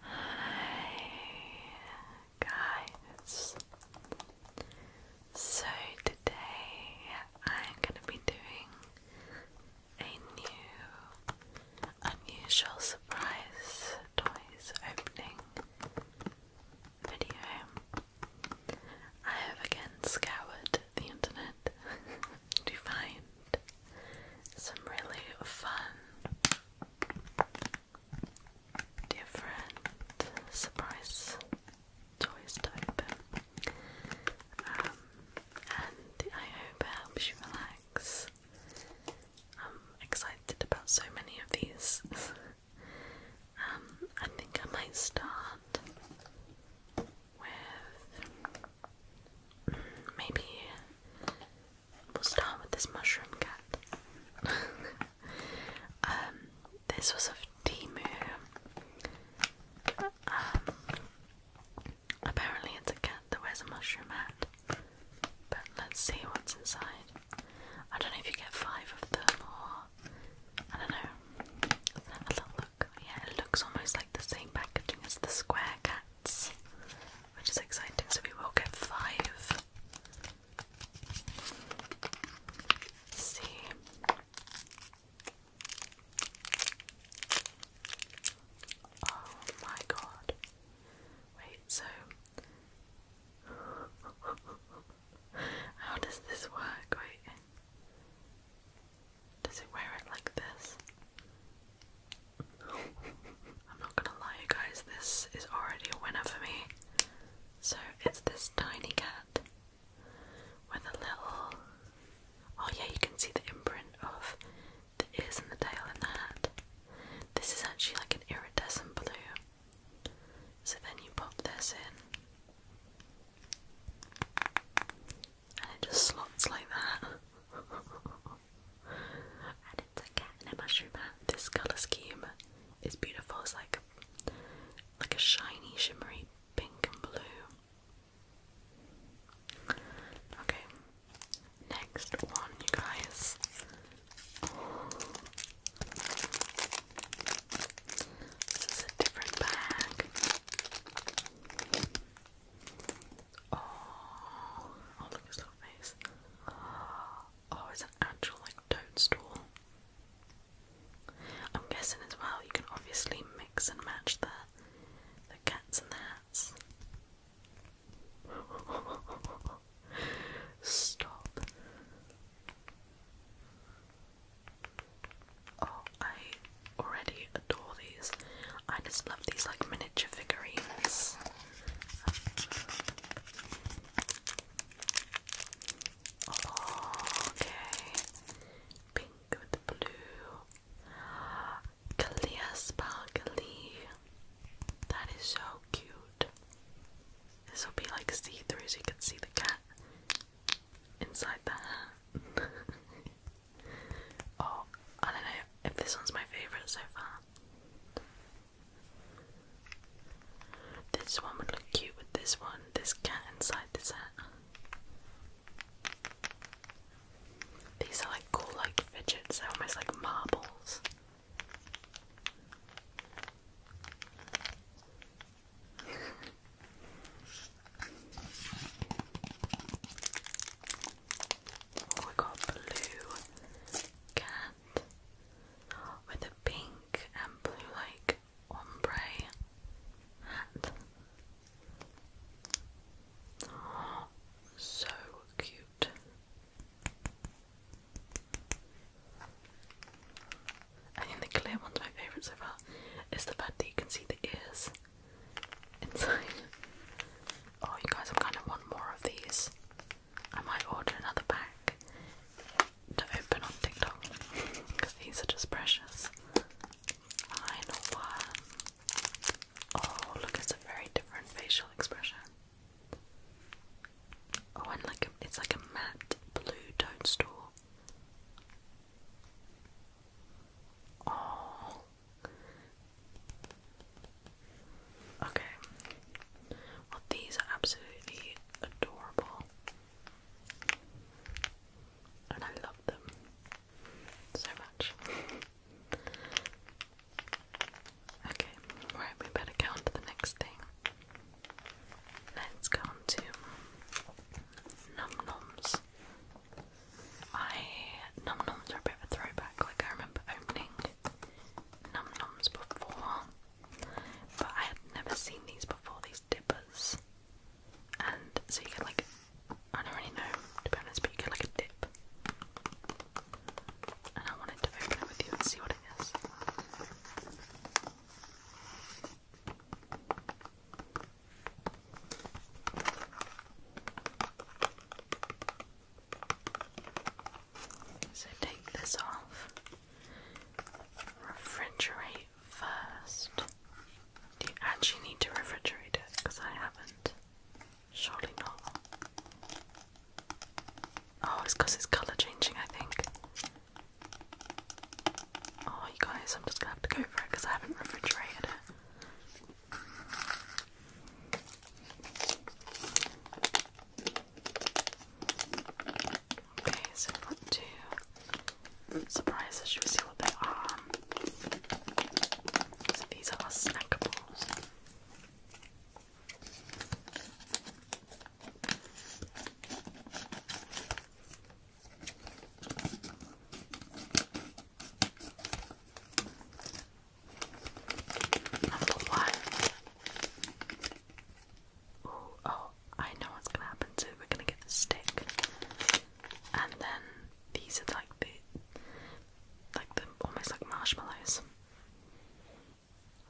Hi guys. So today I'm going to be doing a new unusual surprise toys opening video. I have again scoured the internet to find some really fun different surprise toys to um, and I hope it helps you relax. I'm excited about so many of these. Um, I think I might start with maybe We'll start with this mushroom cat. Um, this was of Timu. Um, apparently it's a cat that wears a mushroom hat. But let's see what's inside. I don't know if you get five of them or I don't know. Let's have a look. Yeah, it looks almost like the same packaging as the square cat which is exciting. So we will get 5 see. Oh my god. Wait, so how does this work? Wait. Does it wear it like this? I'm not gonna lie, you guys, this is already a winner for me. So it's this tiny cat with a little. Oh, yeah, you can see the imprint of the ears and the tail and the head. This is actually like an iridescent blue. So then you pop this in, and it just slots like that. it's a cat and a mushroom This colour scheme is beautiful. It's like a, like a shiny, shimmery pink and blue. Okay, next one, you guys. Oh. a different bag. Oh, oh look at his little face. Oh, it's an actual like toadstool. I'm guessing as well you can obviously mix and match the the cats and the hats. Stop. Oh, I already adore these. I just love these like miniature figurines. Oh, okay. Pink with blue. Clear sparkly. That is so cute. This will be like see through so you can see the cat inside the oh, I don't know if this one's my favourite so far. This one would look cute with this one, this cat inside this hat. These are like cool like fidgets, they're almost like marbles. Oh, got blue cat with a pink and blue like ombre hat. so cute. I think the clear one's my favourite so far is the fact that you can see the ears inside. Oh, you guys, I kind of want more of these. I might order another pack to open on TikTok because these are just precious. Final one. Oh, look, it's a very different facial expression. Oh, and like a, it's like a matte blue toadstool. Oh, Okay. Well, these are absolutely adorable. And I love them so much. okay, right, we better go on to the next thing. Let's go on to Num Noms. I Num Noms are a bit of a throwback, like I remember opening Num Noms before, but I had never seen these before, these dippers. And so you get like, I don't really know, to but you get like a dip. And I wanted to open it with you and see what it is. So take this off. Refrigerate first. Do you actually need to refrigerate it? Because I haven't. Surely not. Oh, it's it's colour changing, I think. Oh, you guys, I'm just gonna have to go for it because I haven't refrigerated it. Okay, so we two surprises. Should we see what they are? So these are our snackables. Number one. oh, I know what's gonna happen too. We're gonna get the stick, and then these are like the, like the almost like marshmallows.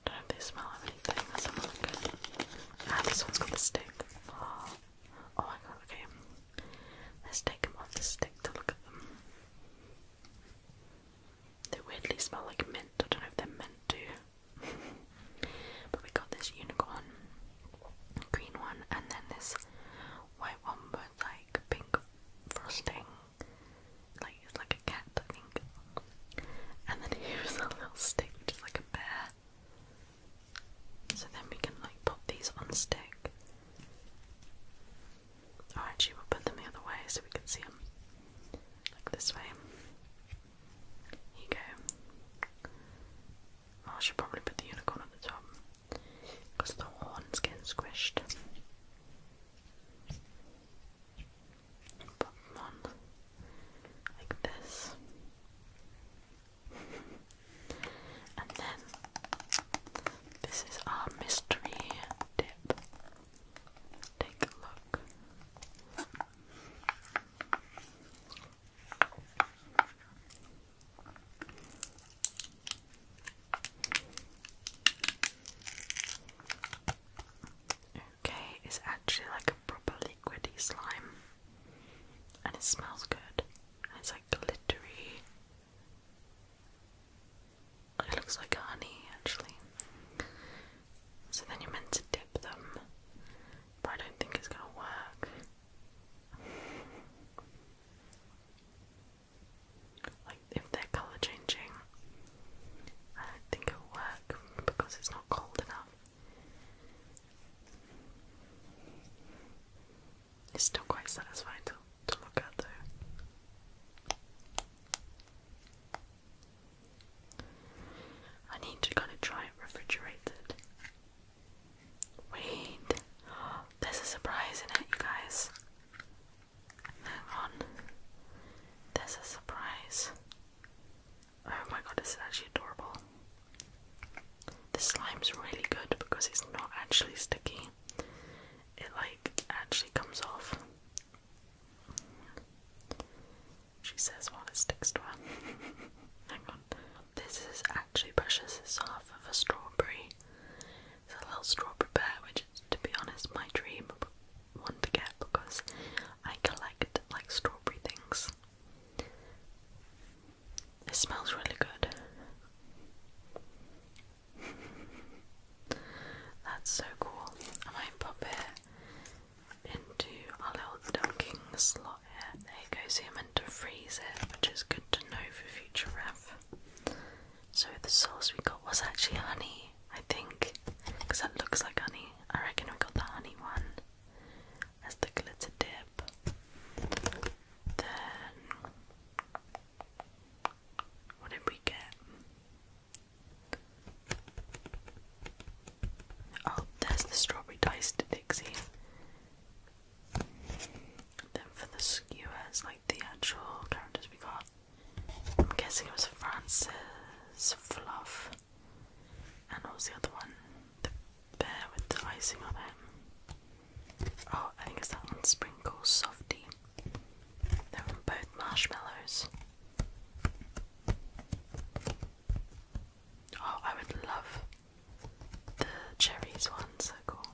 don't know if they smell of anything. That someone good. Ah, this one's got the stick. Ah. oh my god. Okay, let's take them off the stick to look at them. They weirdly smell like mint. I don't know if they're meant to. but we got this unicorn, green one, and then this white one with like pink frosting. Like it's like a cat, I think. And then here's a little stick, which is like a bear. So then we can like pop these on stick. Oh, actually, will put them the other way so we can see them. Like this way. Here you go. Oh, I should probably put the unicorn at the top because the horn's getting squished. Put them on like this. and then this is our mystery tip. Take a look. Okay, it's actually like a proper liquidy slime, and it smells good. And it's like glittery Oh, it looks like honey actually. So then you're meant to dip them, but I don't think it's gonna work. Like if they're colour changing, I don't think it'll work because it's not cold enough. It's still quite satisfying to, to look at though. I need to kind of try it refrigerated. Wait, there's a surprise in it, you guys. Hang on, there's a surprise. Oh my god, this is actually adorable. The slime's really good because it's not actually sticky it like actually comes off. She says while it sticks to her. Hang on. This is actually precious. It's half of a strawberry. It's a little strawberry bear, which is, to be honest, my dream one to get because I collect like strawberry things. It smells really good. That's so cool. I might pop it into our little dunking slot here. There you go, so you're meant freeze it, which is good to know for future ref. So the sauce we got was actually honey, I think, because that looks like honey. I reckon we got the honey one as the glitter dip. Then what did we get? Oh, there's the strawberry diced Dixie. Then for the skewers, like the actual characters we got, I'm guessing it was Francis, Fluff, and what was the other one? The bear with the icing on it. Oh, I think it's that one, Sprinkle Softy. They're both marshmallows. Oh, I would love the cherries one, so cool.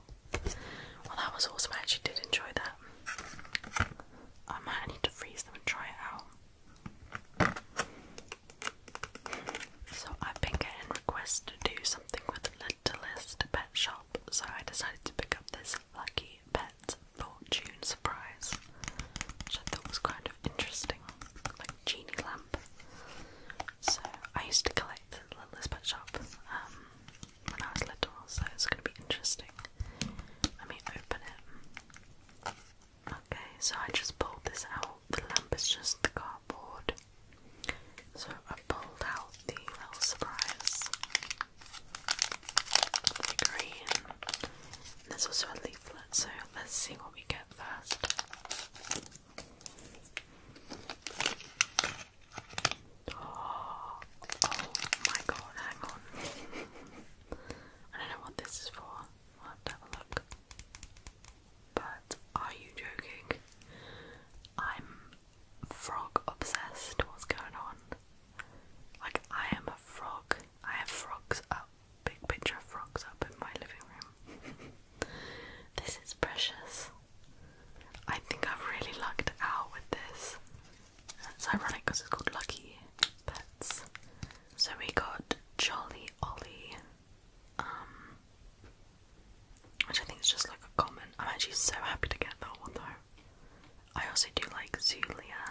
Well, that was awesome. I actually did enjoy that. I might need to freeze them and try it out. So, I've been getting requests to do something with Mentalist pet shop, so I decided to pick up this Lucky pet Fortune Surprise, which I thought was kind of interesting, like a genie lamp. So I used to collect Littlest Pet Shop um, when I was little, so it's going to be interesting. Let me open it. Okay, so I just pulled this out. The lamp is just the cardboard. So I pulled out the little surprise. The green. there's also a leaflet, so let's see what we get first. Oh, oh my god, hang on. I don't know what this is for. I'll have a look. But are you joking? I'm frog obsessed. What's going on? Like, I am a frog. I have frogs up, big picture of frogs up in my living room. this is precious. I think I've really lucked out with this. It's ironic because it's called Lucky Pets. So we got Jolly Ollie, um, which I think is just like a common. I'm actually so happy to get that one though. I also do like Zulia.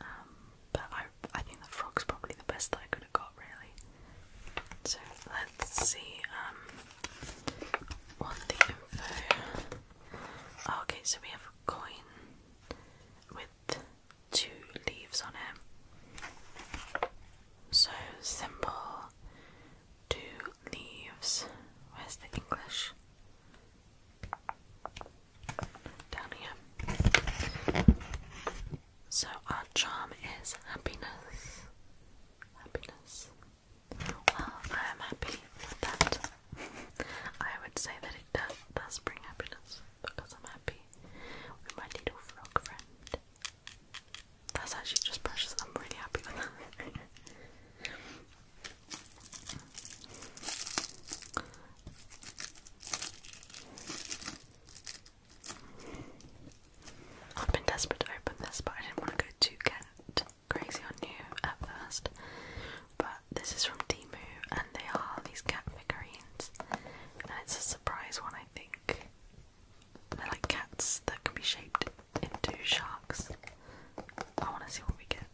Um, but I I think the frog's probably the best that I could have got really. So let's see um, what the info oh, okay so we have a coin with two leaves on it. So symbol two leaves. Where's the English? Down here. So our charm is happiness. Happiness. Well, I am happy with that. I would say that it does, does bring happiness because I'm happy with my little frog friend. That's actually just precious. I'm really happy with that. I've been desperate to open this, but I didn't want to go too cat crazy on you at first. But this is from Timu, and they are these cat figurines, and it's a surprise one, I think. They're like cats that can be shaped into sharks. I want to see what we get.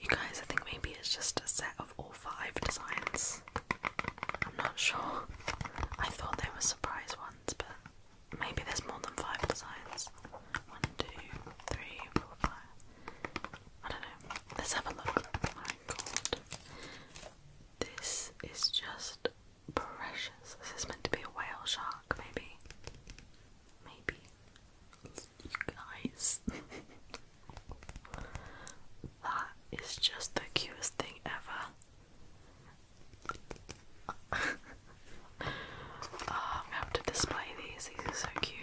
You guys, I think maybe it's just a set of all five designs. I'm not sure. I thought they were surprise ones, but maybe there's more than five designs. One, two, three, four, five. I don't know. Let's have a look. Oh my god. This is just precious. This is meant to be a whale shark, maybe. Maybe. You guys, that is just the cutest thing ever. Oh, I'm gonna have to display these, these are so cute.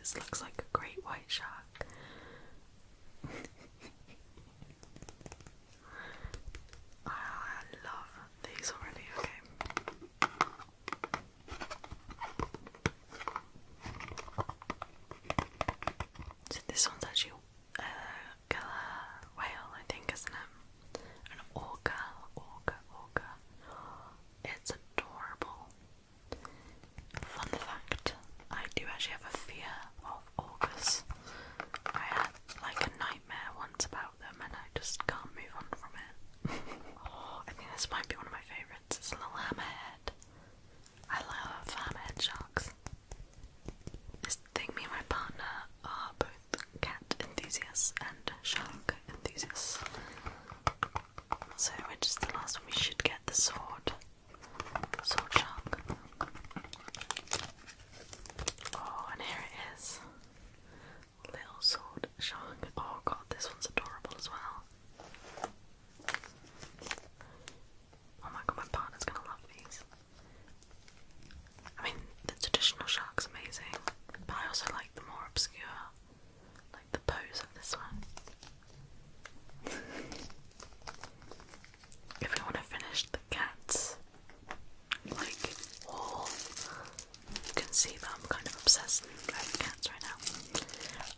this looks like a great white shark. I, love these already, okay. So this one's actually a uh, killer whale, I think, isn't it? An orca, orca, orca. It's adorable. Fun fact, I do actually have a fear of orcas. I had like a nightmare once about them and I just can't move on from it. Oh, I think this might be one of my favourites. It's a little hammerhead. I love hammerhead sharks. This thing, me and my partner are both cat enthusiasts and shark enthusiasts. So, we're just the last one we should get the sword. So chunk. Oh, and here it is. Little sword shark. Oh god, this one's adorable as well. Oh my god, my partner's gonna love these. I mean, the traditional shark's amazing, but I also like the more obscure, like the pose of this one if we want to finish the cats like all you can see that I'm kind of obsessed with cats right now.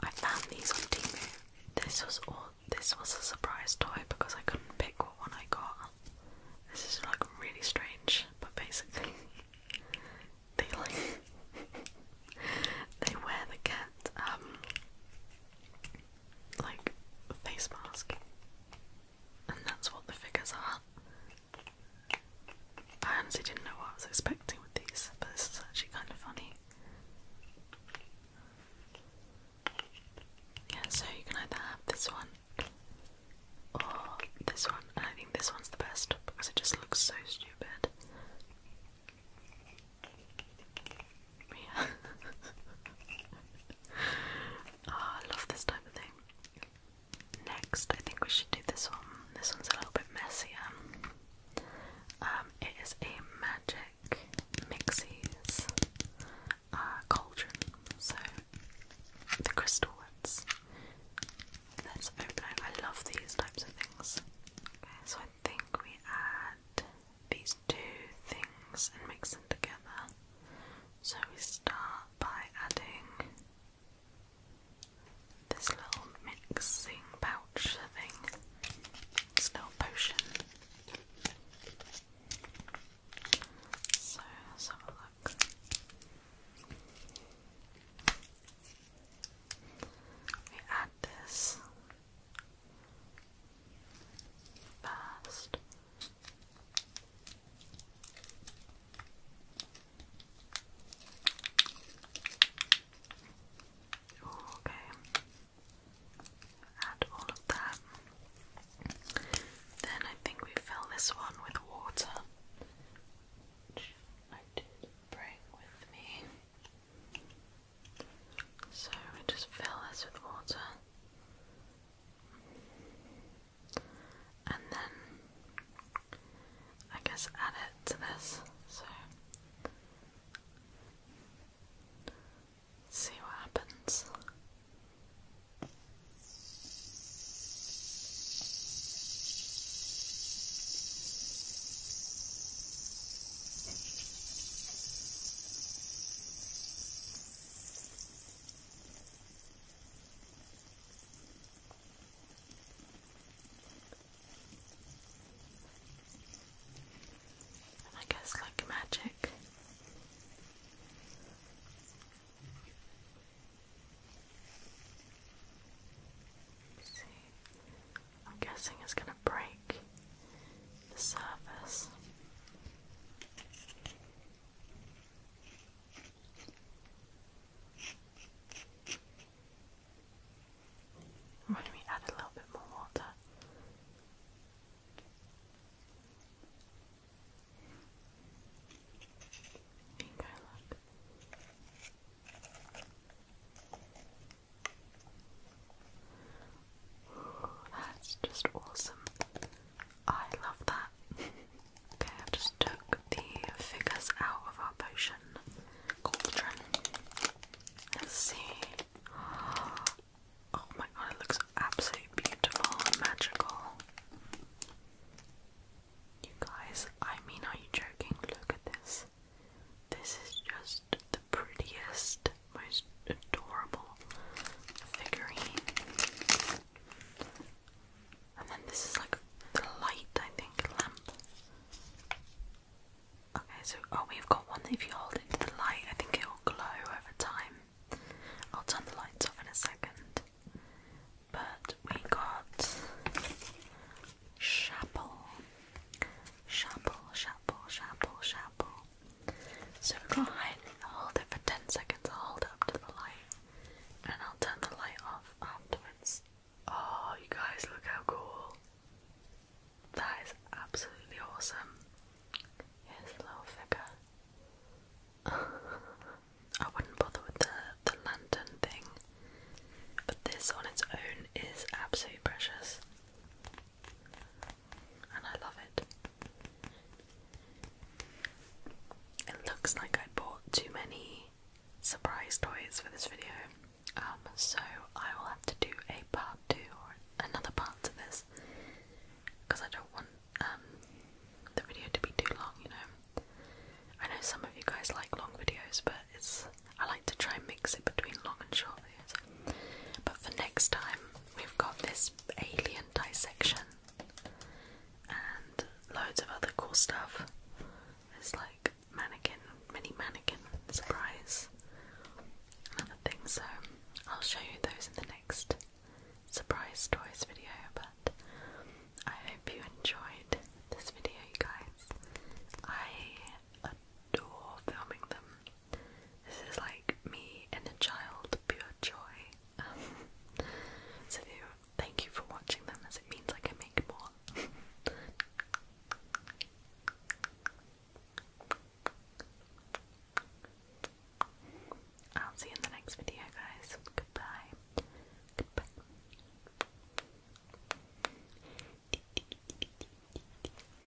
I found these on Timu. This was all this was a surprise toy because I couldn't pick what one I got. This is like really strange, but basically they like they wear the cat um like face mask, and that's what the figures are. I honestly didn't know what I was expecting with these, but this is actually kind of funny. Yeah, so you can either have this one or this one, and I think this one's the best because it just looks so stupid. Ah, I love this type of thing. Next, I think we should do this one. This one's a little bit messier. Um, it is a magic mixies uh, cauldron. So the crystal ones. Let's open I love these types of things. Okay, so I think we add these two things and mix them together. So we start by adding this little mixing pouch thing, this little potion. So let's have a look. We add this first. okay. Add all of that. Then I think we fill this one with water, I did bring with me. So we just fill this with water. And then I guess add it to this. So see what happens. I guess like magic. I'm guessing it's going to break the surface. Why don't we add a little bit more water? Bingo, look. That's just awesome. I love that. okay, I've just took the figures out of our potion cauldron. Let's see. Oh my god, it looks absolutely beautiful and magical. You guys, I mean, are you joking? Look at this. This is just just the prettiest, most adorable figurine. And then this is like the light, I think, lamp. Okay, so oh, we've got one if you hold it to the light, I think it will glow over time. I'll turn the lights off in a second. But we got chapel, chapel, chapel, chapel, chapel. So go ahead and hold it for 10 seconds. I'll hold it up to the light and I'll turn the light off afterwards. Oh, you guys, look how cool! That is absolutely awesome. Here's the little figure. I wouldn't bother with the, the lantern thing, but this on its own is absolutely precious and I love it. It looks like I bought too many surprise toys for this video, um, so I will have to do a part two or another part to this because I don't want um, the video to be too long, you know. I know some of you guys like long videos, but it's I like to try and mix it between long and short videos. But for next time, we've got this alien dissection and loads of other cool stuff. There's like mannequin, mini mannequin surprise, and other things. So I'll show you those in the next surprise toys video. But I hope you enjoyed this video, you guys. I adore filming them. This is like me and a child, pure joy. Um, so thank you for watching them, as it means I make more. I'll see you in the next video, guys. Goodbye.